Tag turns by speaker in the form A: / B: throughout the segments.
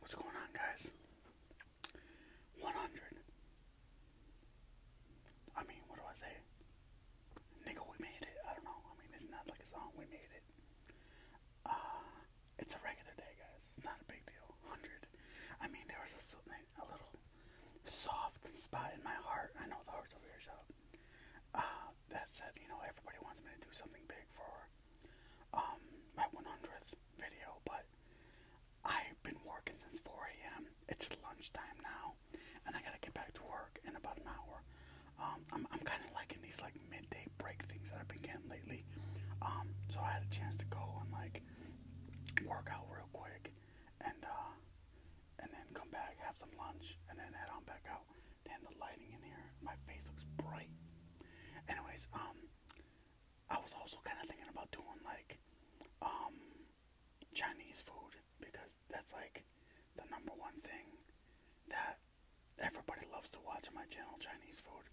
A: What's going on, guys? 100. I mean, what do I say? Nigga, we made it. I don't know. I mean, it's not like a song. We made it. Uh, it's a regular day, guys. It's not a big deal. 100. I mean, there was a, little soft spot in my heart. I know the heart's over here, shut up. Uh, that said, you know, everybody wants me to do something big for um, my 100th video, but I've been working since 4 a.m. It's lunchtime now, and I gotta get back to work in about an hour. Um, I'm, I'm kind of liking these like midday break things that I've been getting lately. Um, so I had a chance to go and like work out real quick, and uh, and then come back, have some lunch, and then head on back out. Damn, the lighting in here, my face looks bright. Anyways, um, I was also kind of thinking about doing like, um, Chinese food because that's like the number one thing that everybody loves to watch on my channel, Chinese food.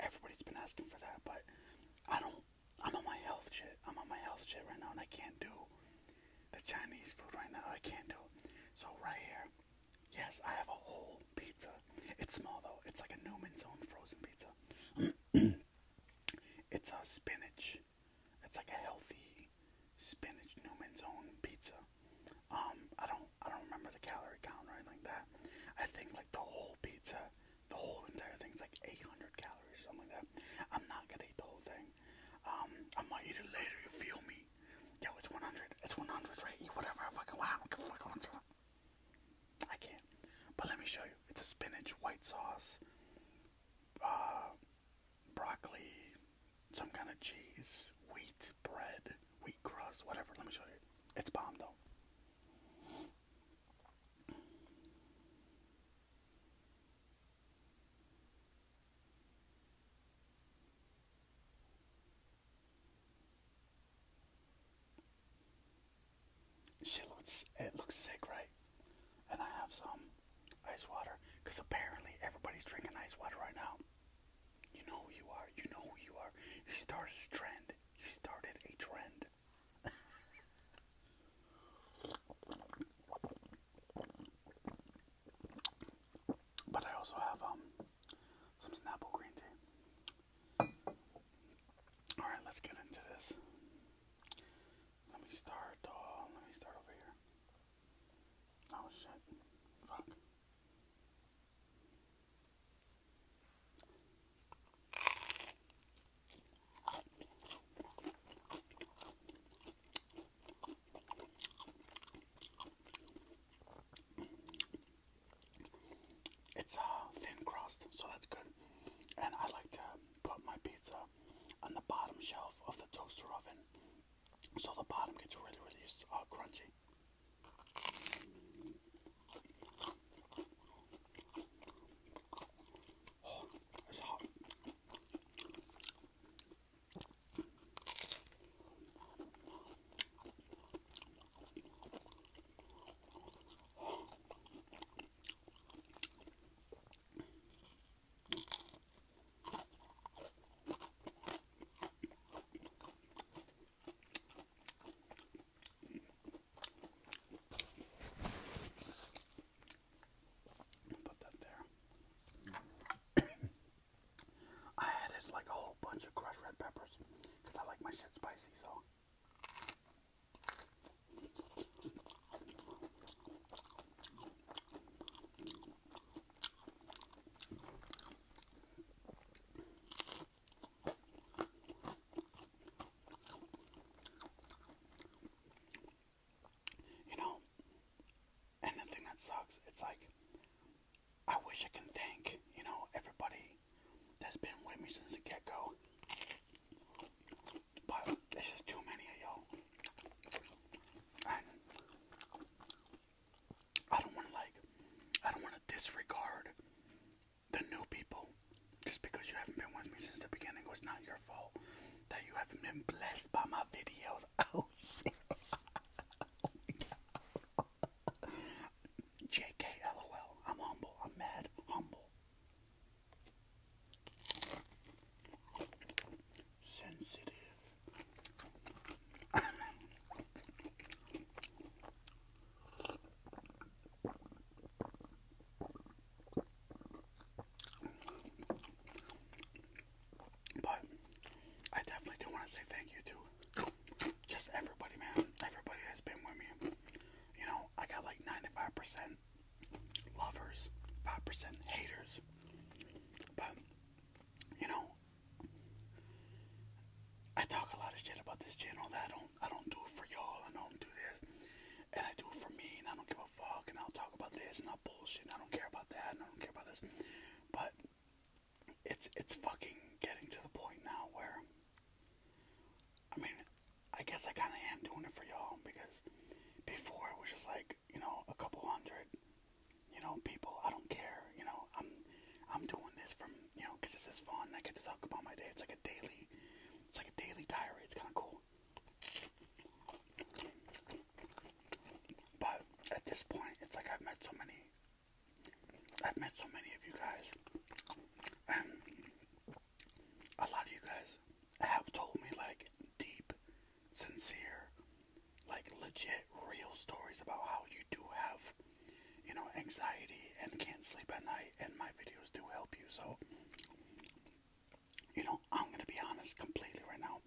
A: Everybody's been asking for that, but I don't. I'm on my health shit. I'm on my health shit right now, and I can't do the Chinese food right now. I can't do it. So right here, Yes, I have a whole pizza. It's small though. It's like a Newman's Own frozen pizza. it's a spinach. It's like a healthy spinach Newman's Own pizza. Um, I don't, I don't remember the calorie count or anything like that. I think like the whole pizza, the whole entire thing is like 800 calories, or something like that. I'm not gonna eat the whole thing. Um, I might eat it later. You feel me? Yo, it's 100. It's 100, right? Eat whatever I fucking want. I fuck what's I can't. But let me show you. It's a spinach, white sauce, uh, broccoli, some kind of cheese, wheat bread, wheat crust, whatever. Let me show you. It's bomb, though it looks sick, right? And I have some ice water because apparently everybody's drinking ice water right now. You know who you are. You know who you are. You started a trend. You started a trend. but I also have um some Snapple green tea. Alright, let's get into this. Let me start, uh, let me start over here. Oh shit, fuck. It's a uh, thin crust, so that's good. And I like to put my pizza on the bottom shelf of the toaster oven, so the bottom gets really, really uh, crunchy. Oh, it's hot. Put that there. I added like a whole bunch of crushed red peppers because I like my shit spicy, so. You know, and the thing that sucks, it's like I wish I can thank, you know, everybody that's been with me since the get go. But it's just too many of y'all. I don't wanna like I don't wanna disregard the new people. Just because you haven't been with me since the beginning, it's not your fault that you haven't been blessed by my videos. Oh shit. oh, JK, lol. I'm humble. I'm mad humble. Sensitive. But I definitely do want to say thank you to just everybody, man. Everybody has been with me. You know, I got like 95% lovers, 5% haters. But, you know, I talk a lot of shit about this channel that I don't I don't do it for y'all, I don't do this. And I do it for me and I don't give a fuck and I'll talk about this and I'll bullshit I don't care about that and I don't care about this. But it's it's fucking getting to the point now where I mean, I guess I kind of am doing it for y'all because before it was just like you know a couple hundred, you know people. I don't care, you know. I'm I'm doing this from you know because this is fun. I get to talk about my day. It's like a daily, it's like a daily diary. It's kind of cool. But at this point, it's like I've met so many I've met so many of you guys, and a lot of you guys have told me like deep, sincere, like legit, real stories about how you do have, you know, anxiety and can't sleep at night, and my videos do help you. So, you know, I'm gonna be honest completely right now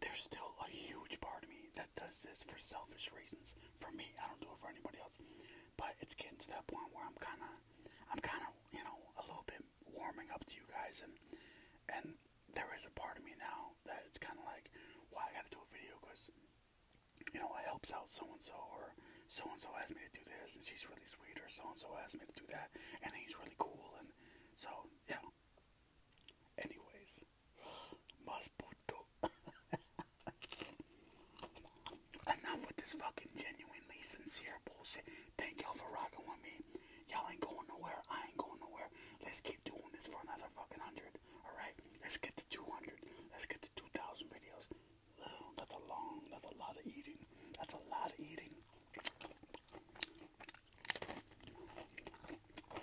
A: there's still a huge part of me that does this for selfish reasons. For me, I don't do it for anybody else. But it's getting to that point where I'm kind of, I'm kind of, you know, a little bit warming up to you guys, and and there is a part of me now that it's kind of like, why well, I got to do a video because, you know, it helps out so and so, or so and so asked me to do this, and she's really sweet, or so and so asked me to do that, and he's really cool, and so yeah. Anyways, Enough with this fucking genuinely sincere bullshit. Thank y'all for rocking with me. Y'all ain't going nowhere. I ain't going nowhere. Let's keep doing this for another fucking hundred. Alright? Let's get to 200. Let's get to 2,000 videos. that's a long, that's a lot of eating. That's a lot of eating.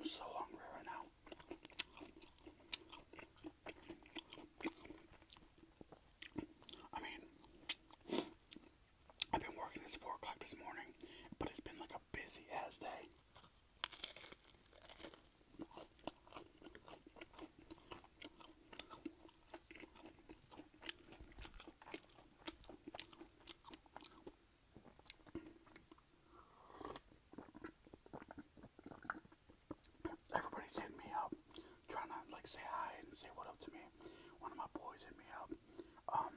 A: I'm so hungry right now. I mean, I've been working since 4 o'clock this morning, but it's been like a busy as day. Everybody's hitting me up, trying to like say hi and say what up to me. One of my boys hit me up. Um,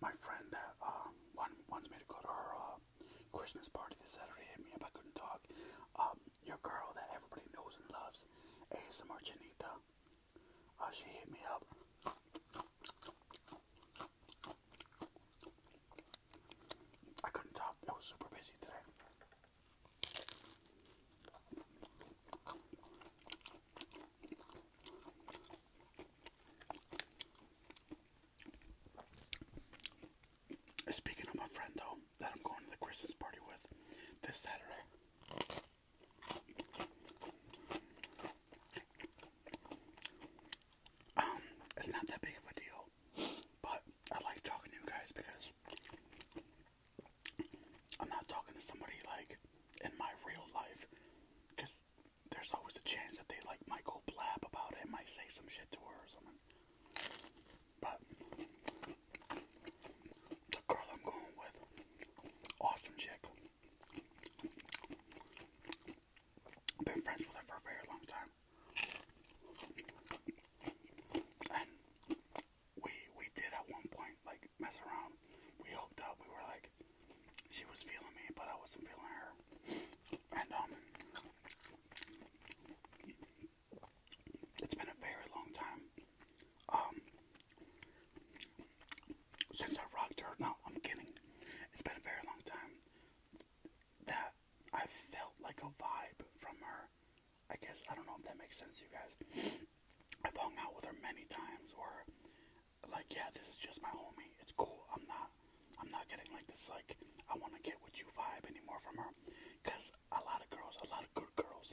A: my friend that uh, one wants me to go to her uh, Christmas party this Saturday hit me up. I couldn't talk. Um, your girl that everybody knows and loves, ASMR Janita. Uh, she hit me up. I couldn't talk. I was super busy today. Speaking of my friend though, that I'm going to the Christmas party with this Saturday. Um, it's not that big of a deal, but I like talking to you guys because I'm not talking to somebody like in my real life because there's always a chance that they like might go blab about it and might say some shit to her or something. But the girl I'm going with, awesome chick. been friends with her for a very long time. And we we did at one point like mess around. We hooked up. We were like, she was feeling me, but I wasn't feeling her. And um, it's been a very long time um since I rocked her. No, I'm kidding. It's been a very long time that I felt like a vibe from her. I guess I don't know if that makes sense to you guys. I've hung out with her many times where like yeah, this is just my homie. It's cool. I'm not I'm not getting like this like I wanna get with you vibe anymore from her. Cause a lot of girls, a lot of good girls,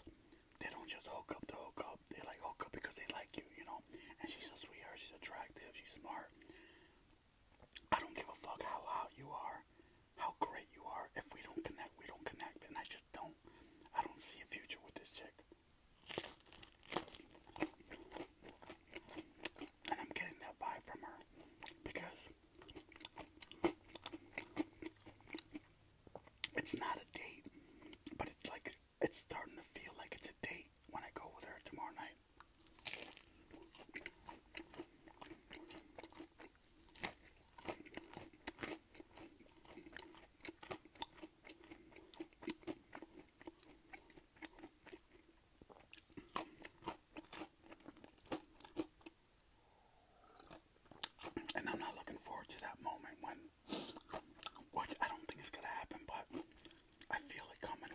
A: they don't just hook up to hook up. They like hook up because they like you, you know? And she's a sweetheart, she's attractive, she's smart. I don't give a fuck how hot you are, how great you are. If we don't connect, we don't connect. And I just don't I don't see a future with this chick. And I'm getting that vibe from her because it's not a date, but it's like it's starting to feel like it's a date when I go with her tomorrow night. And I'm not looking forward to that moment when, which I don't think is going to happen, but I feel it coming.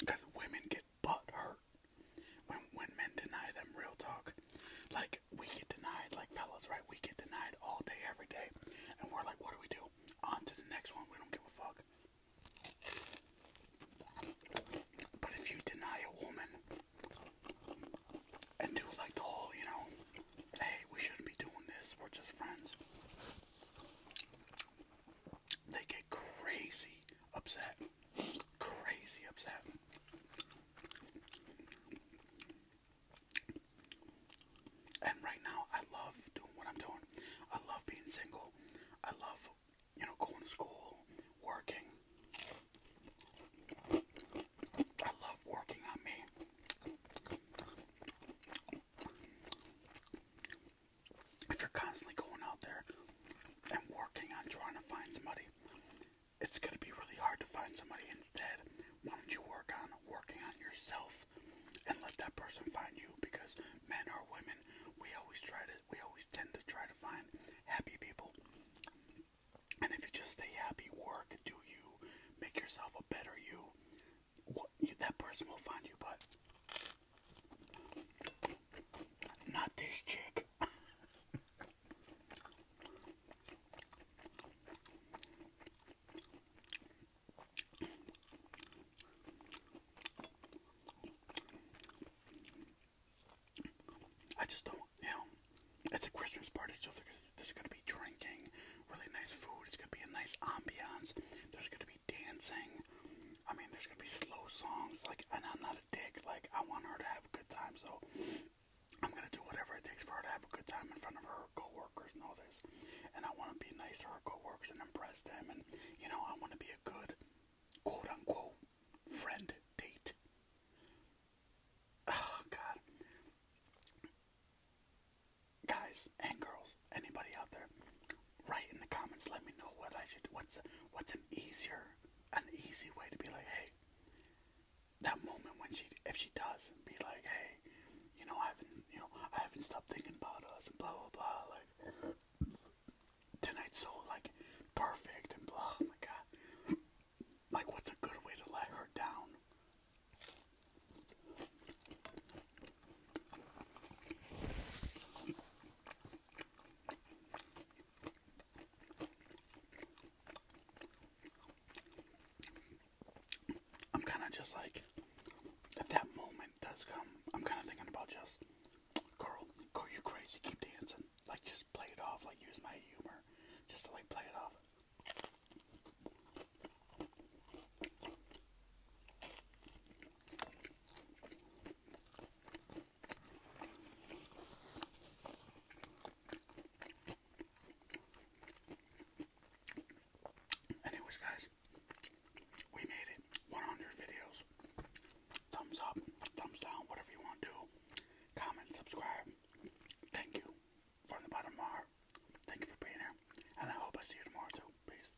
A: Because women get butt hurt when when men deny them real talk. Like we get denied, like fellas, right? We get denied all day, every day, and we're like, what do we do? On to the next one. We don't give a fuck. But if you deny a woman and do like the whole, you know, hey, we shouldn't be doing this. We're just friends they get crazy upset. Crazy upset. And right now, I love doing what I'm doing. I love being single. I love, you know, going to school, working. I love working on me if you're constantly going out there and working on trying to find somebody, it's going to be really hard to find somebody. Instead, why don't you work on working on yourself and let that person find you? Because men or women, we always try to, we always tend to try to find happy people. And if you just stay happy, work, do you, make yourself a better you, you that person will find you. But not this chick. I just don't, you know, it's a Christmas party, there's gonna be drinking, really nice food, it's gonna be a nice ambiance, there's gonna dancing. I mean, there's gonna be slow songs, like, and I'm not a dick. Like, I want her to have a good time, so I'm gonna do whatever it takes for her to have a good time in front of her coworkers and all this. And I want to be nice to her coworkers and impress them, and you know, I want to be a good, quote unquote, friend date. Oh God, guys and girls, anybody out there, write in the comments. Let me know what I should. What's what's an easier, an easy way to be like, hey, that moment when she, if she does, be like, hey, you know, I haven't, you know, I haven't stopped thinking about us and blah blah blah. Like tonight's so like perfect and blah. Oh my god. Like, what's a good way to let her down? I'm kind of just like, if that moment does come, I'm kind of thinking about just, girl, girl, you crazy, keep dancing. Like, just play it off, like, use my humor just like, play it off. Anyways, guys, we made it 100 videos. Thumbs up, thumbs down, whatever you want to Comment, subscribe. Thank you from the bottom heart. Thank you for being here, and I hope I see you tomorrow too. Peace.